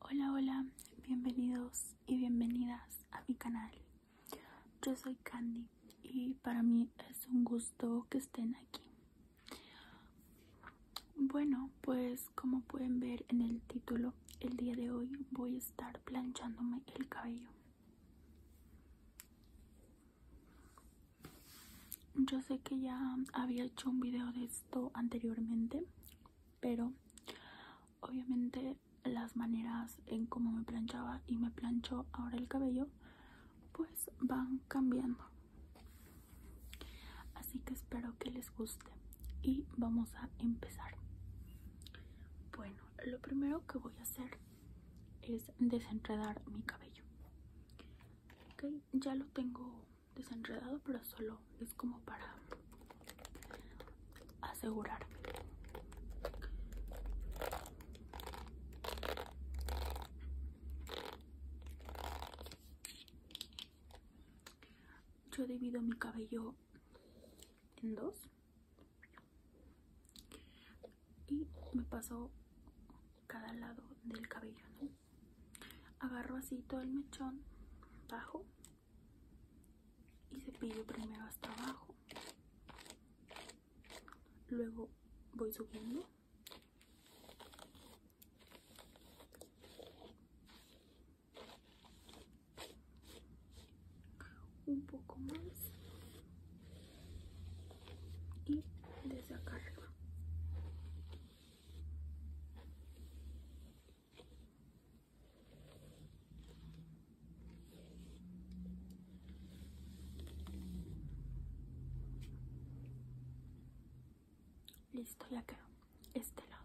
Hola, hola, bienvenidos y bienvenidas a mi canal. Yo soy Candy y para mí es un gusto que estén aquí. Bueno, pues como pueden ver en el título, el día de hoy voy a estar planchándome el cabello. Yo sé que ya había hecho un video de esto anteriormente, pero obviamente las maneras en cómo me planchaba y me plancho ahora el cabello, pues van cambiando. Así que espero que les guste y vamos a empezar. Bueno, lo primero que voy a hacer es desenredar mi cabello. ya lo tengo desenredado, pero solo es como para asegurarme. Yo divido mi cabello en dos y me paso cada lado del cabello, Agarro así todo el mechón bajo y cepillo primero hasta abajo. Luego voy subiendo. Un poco más y de listo la quedó este lado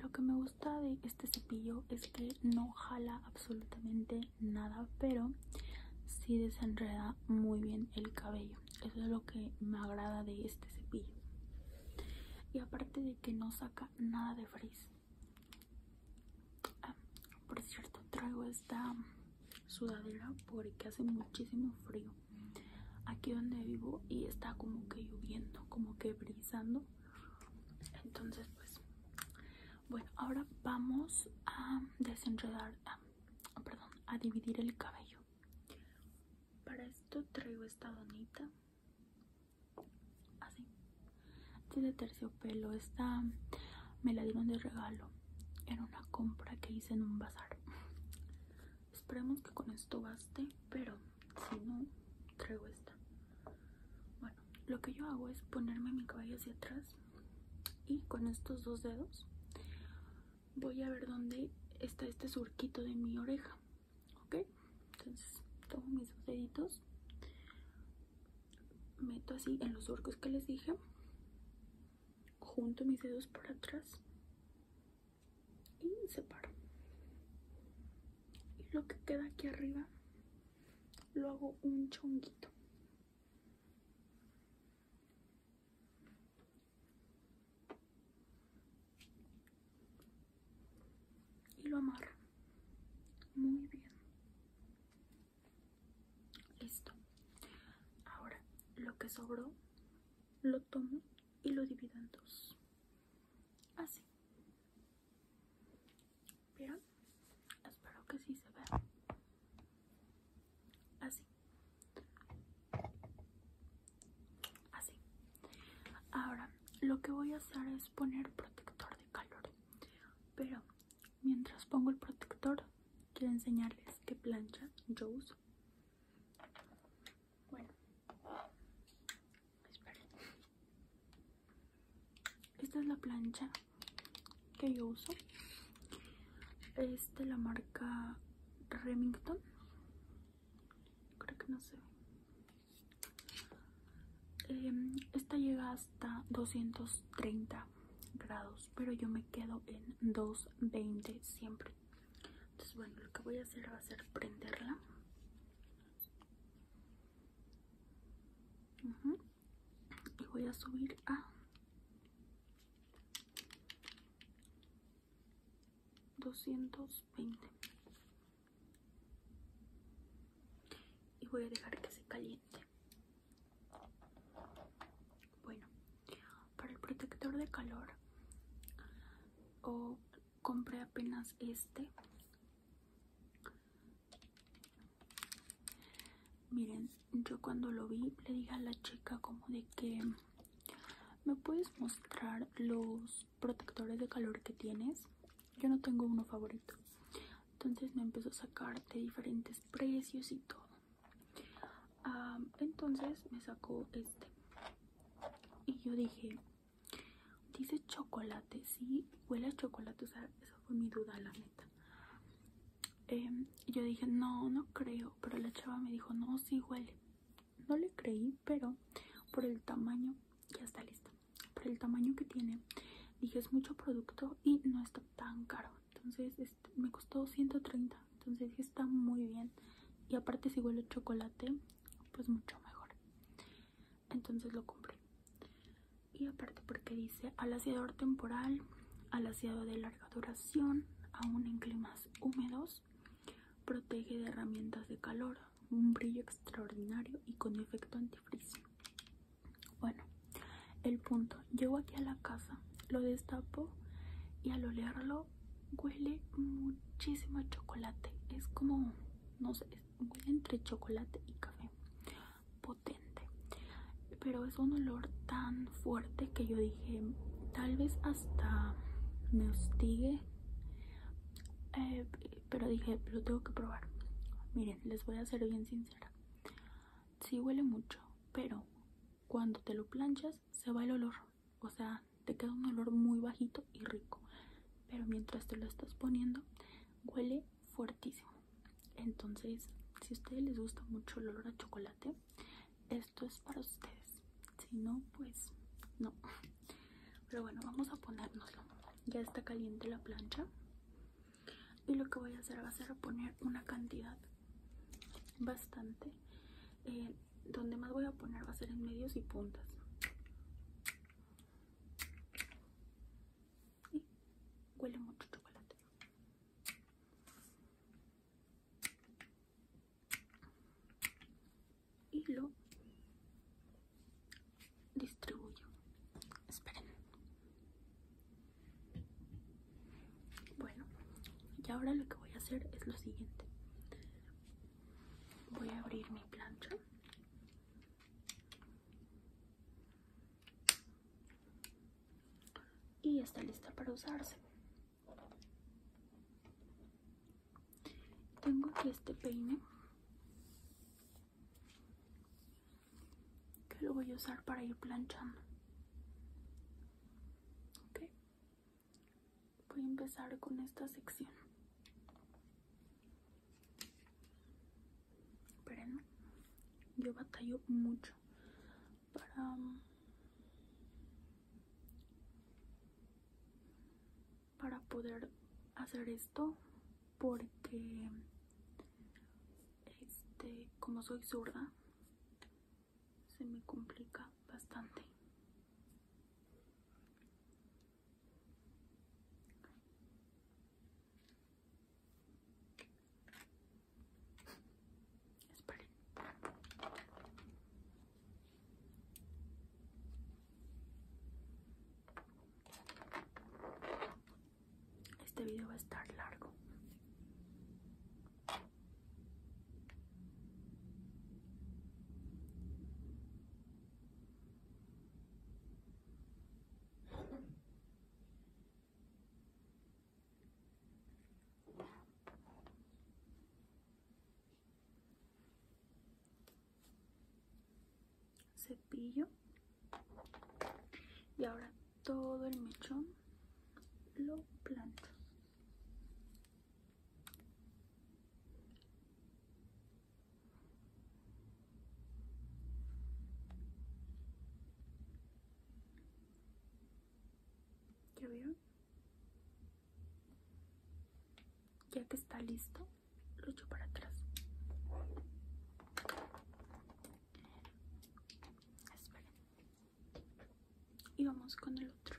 lo que me gusta de este cepillo es que no jala absolutamente nada pero si desenreda muy bien el cabello eso es lo que me agrada de este cepillo y aparte de que no saca nada de frizz ah, por cierto traigo esta sudadera porque hace muchísimo frío aquí donde vivo y está como que lloviendo como que brisando entonces pues bueno, ahora vamos a desenredar, perdón, a dividir el cabello. Para esto traigo esta donita, así, este de terciopelo. Esta me la dieron de regalo era una compra que hice en un bazar. Esperemos que con esto baste, pero si no, traigo esta. Bueno, lo que yo hago es ponerme mi cabello hacia atrás y con estos dos dedos voy a ver dónde está este surquito de mi oreja. ¿Ok? Entonces tomo mis dos deditos, meto así en los surcos que les dije, junto mis dedos para atrás y separo. Y lo que queda aquí arriba lo hago un chonguito y lo amarro muy bien listo ahora lo que sobró lo tomo y lo divido en dos así pero Espero que sí se vea. Ah. Así. Así. Ahora, lo que voy a hacer es poner protector de calor. Pero mientras pongo el protector, quiero enseñarles qué plancha yo uso. Bueno, esperen. Esta es la plancha que yo uso. Es de la marca Remington. Creo que no se em, esta llega hasta 230 grados, pero yo me quedo en 220 siempre. Entonces, bueno, lo que voy a hacer va a ser prenderla y voy a subir a 220 y voy a dejar que se caliente bueno para el protector de calor o oh, compré apenas este Miren, yo cuando lo vi le dije a la chica como de que me puedes mostrar los protectores de calor que tienes. Yo no tengo uno favorito. Entonces me empezó a sacar de diferentes precios y todo. Ah, entonces me sacó este. Y yo dije, dice chocolate, sí, huele a chocolate. O sea, fue mi duda, la neta. Em, yo dije, no, no creo, pero la chava me dijo, no, si huele. No le creí, pero por el tamaño, ya está listo por el tamaño que tiene, dije, es mucho producto y no está tan caro. Entonces este, me costó 130, entonces está muy bien. Y aparte si huele chocolate, pues mucho mejor. Entonces lo compré y aparte porque dice alaciador temporal, al alaciado de larga duración, aún en climas húmedos, protege de herramientas de calor, un brillo extraordinario y con efecto antifriz Bueno, el punto, llego aquí a la casa, lo destapo y al olerlo huele muchísimo a chocolate, es como, no sé, huele entre chocolate y café pero es un olor tan fuerte que yo dije tal vez hasta me hostigue eh, pero dije lo tengo que probar miren les voy a ser bien sincera si huele mucho pero cuando te lo planchas se va el olor o sea te queda un olor muy bajito y rico pero mientras te lo estás poniendo huele fuertísimo entonces si a ustedes les gusta mucho el olor a chocolate esto es para ustedes si no pues no pero bueno vamos a ponernoslo, ya está caliente la plancha y lo que voy a hacer va a ser poner una cantidad bastante eh, donde más voy a poner va a ser en medios y puntas huele mucho chocolate y lo distribuyo esperen bueno y ahora lo que voy a hacer es lo siguiente voy a abrir mi plancha y está lista para usarse tengo aquí este peine que lo voy a usar para ir planchando voy a empezar con esta sección pero yo batallo mucho para um, para poder hacer esto porque este como soy zurda se me complica bastante este video va a estar largo cepillo y ahora todo el mechón lo planto ¿Ya veo Ya que está listo, lo echo para atrás. Y vamos con el otro.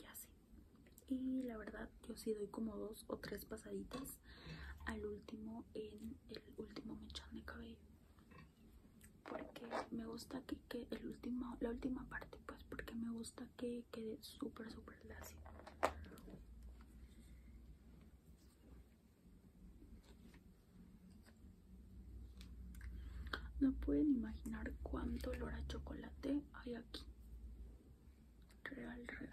Y así. Y la verdad, yo sí doy como dos o tres pasaditas al último en el último mechón de cabello. Porque me gusta que, que el último, la última parte, pues porque me gusta que quede súper, súper lacio. No pueden imaginar cuánto olor a chocolate hay aquí. Real, real.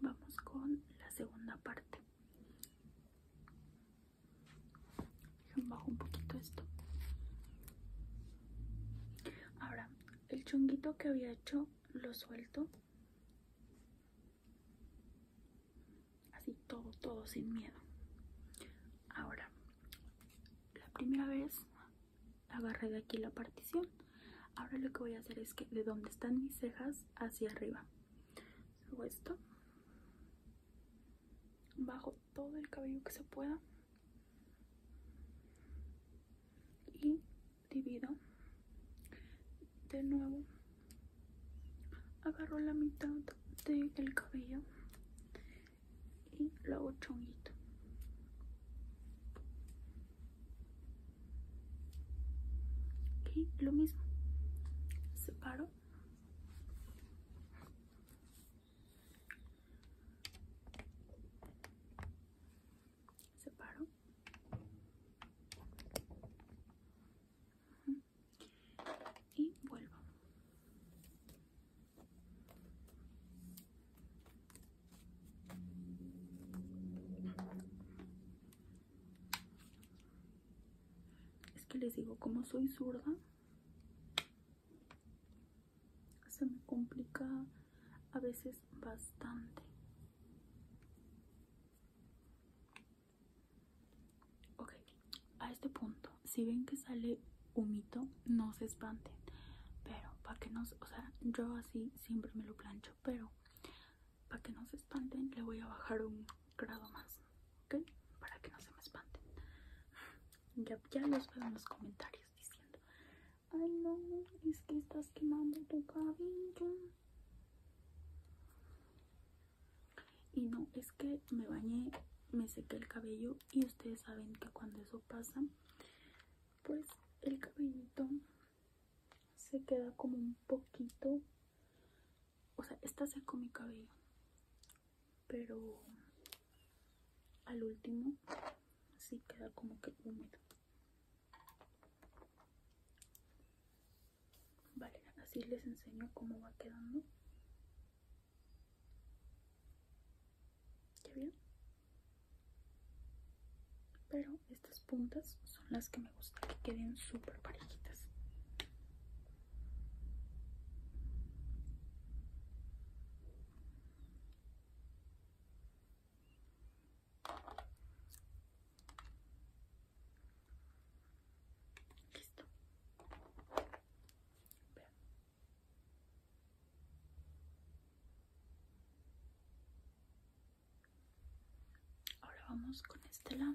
Vamos con la segunda parte. Bajo un poquito esto. Ahora, el chonguito que había hecho lo suelto Así todo, todo sin miedo. Ahora, la primera vez agarré de aquí la partición. Ahora lo que voy a hacer es que de donde están mis cejas hacia arriba. Hago esto. Bajo todo el cabello que se pueda. Y divido de nuevo agarro la mitad del el cabello y lo hago chonguito y lo mismo separo separo y vuelvo es que les digo como soy zurda se me complica a veces bastante Ok, a este punto, si ven que sale humito, no se espanten. Pero para que no, o sea, yo así siempre me lo plancho, pero para que no se espanten, le voy a bajar un grado más, ¿ok? Para que no se me espanten. Ya, ya los veo en los comentarios diciendo, ay no, es que estás quemando tu cabello. Y no, es que me bañé, me seque el cabello y ustedes saben que cuando eso pasa, pues el cabellito se queda como un poquito, o sea, está seco mi cabello, pero al último sí queda como que húmedo vale así les enseño cómo va quedando ¿Qué bien pero estas puntas son las que me gusta que queden súper parejitas Listo. Ahora vamos con este lado.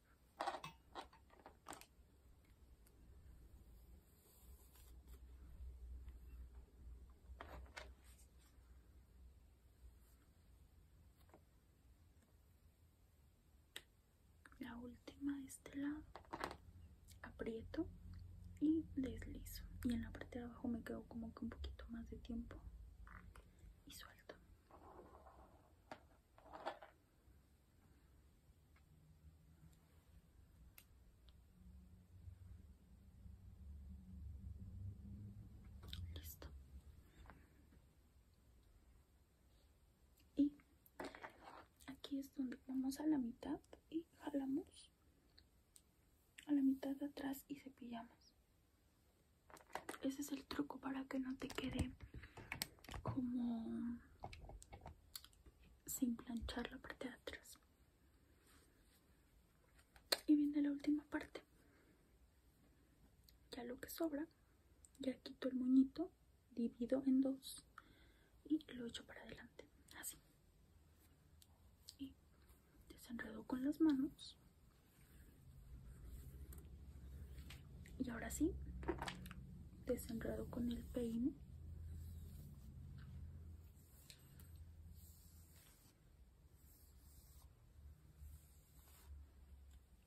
la última de este lado aprieto y deslizo y en la parte de abajo me quedo como que un poquito más de tiempo y suelto Listo. Y aquí es donde vamos a la mitad y jalamos a la mitad de atrás y cepillamos. Ese es el truco para que no te quede como sin planchar la parte de atrás y viene la última parte ya lo que sobra ya quito el muñito divido en dos y lo echo para adelante así y desenredo con las manos y ahora sí desenrado con el peine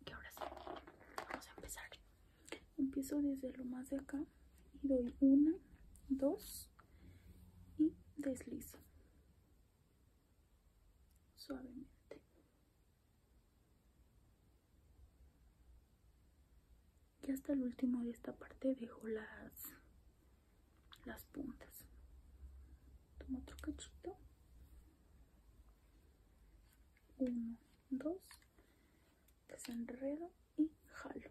y ahora sí vamos a empezar empiezo desde lo más de acá y doy una dos y deslizo suavemente y hasta el último de esta parte dejo las las puntas tomo otro cachito uno dos desenredo y jalo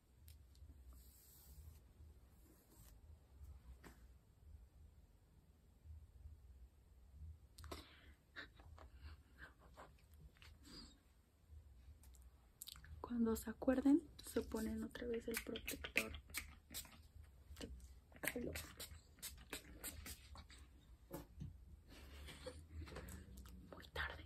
Cuando se acuerden, se ponen otra vez el protector Muy tarde.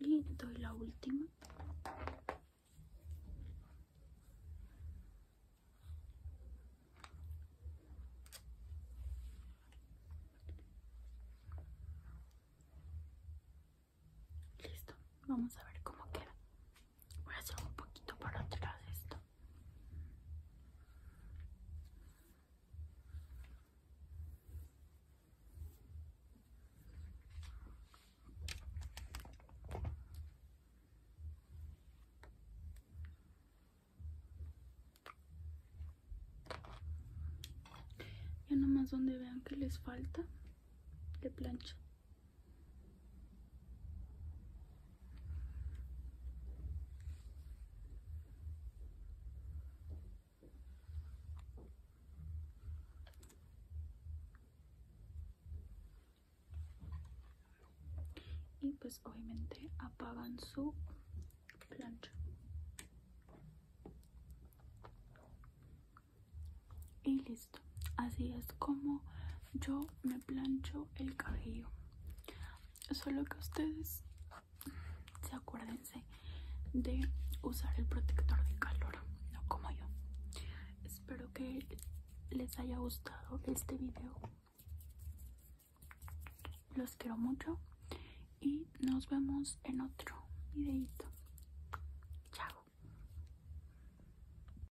Y doy la última. Listo, vamos a ver cómo queda. Voy a hacer un poquito para atrás esto. Ya nomás donde vean que les falta, le plancha y pues obviamente apagan su plancha y así es como yo me plancho el cabello solo que ustedes se acuérdense de usar el protector de calor no como yo espero que les haya gustado este video los quiero mucho y nos vemos en otro videito chao.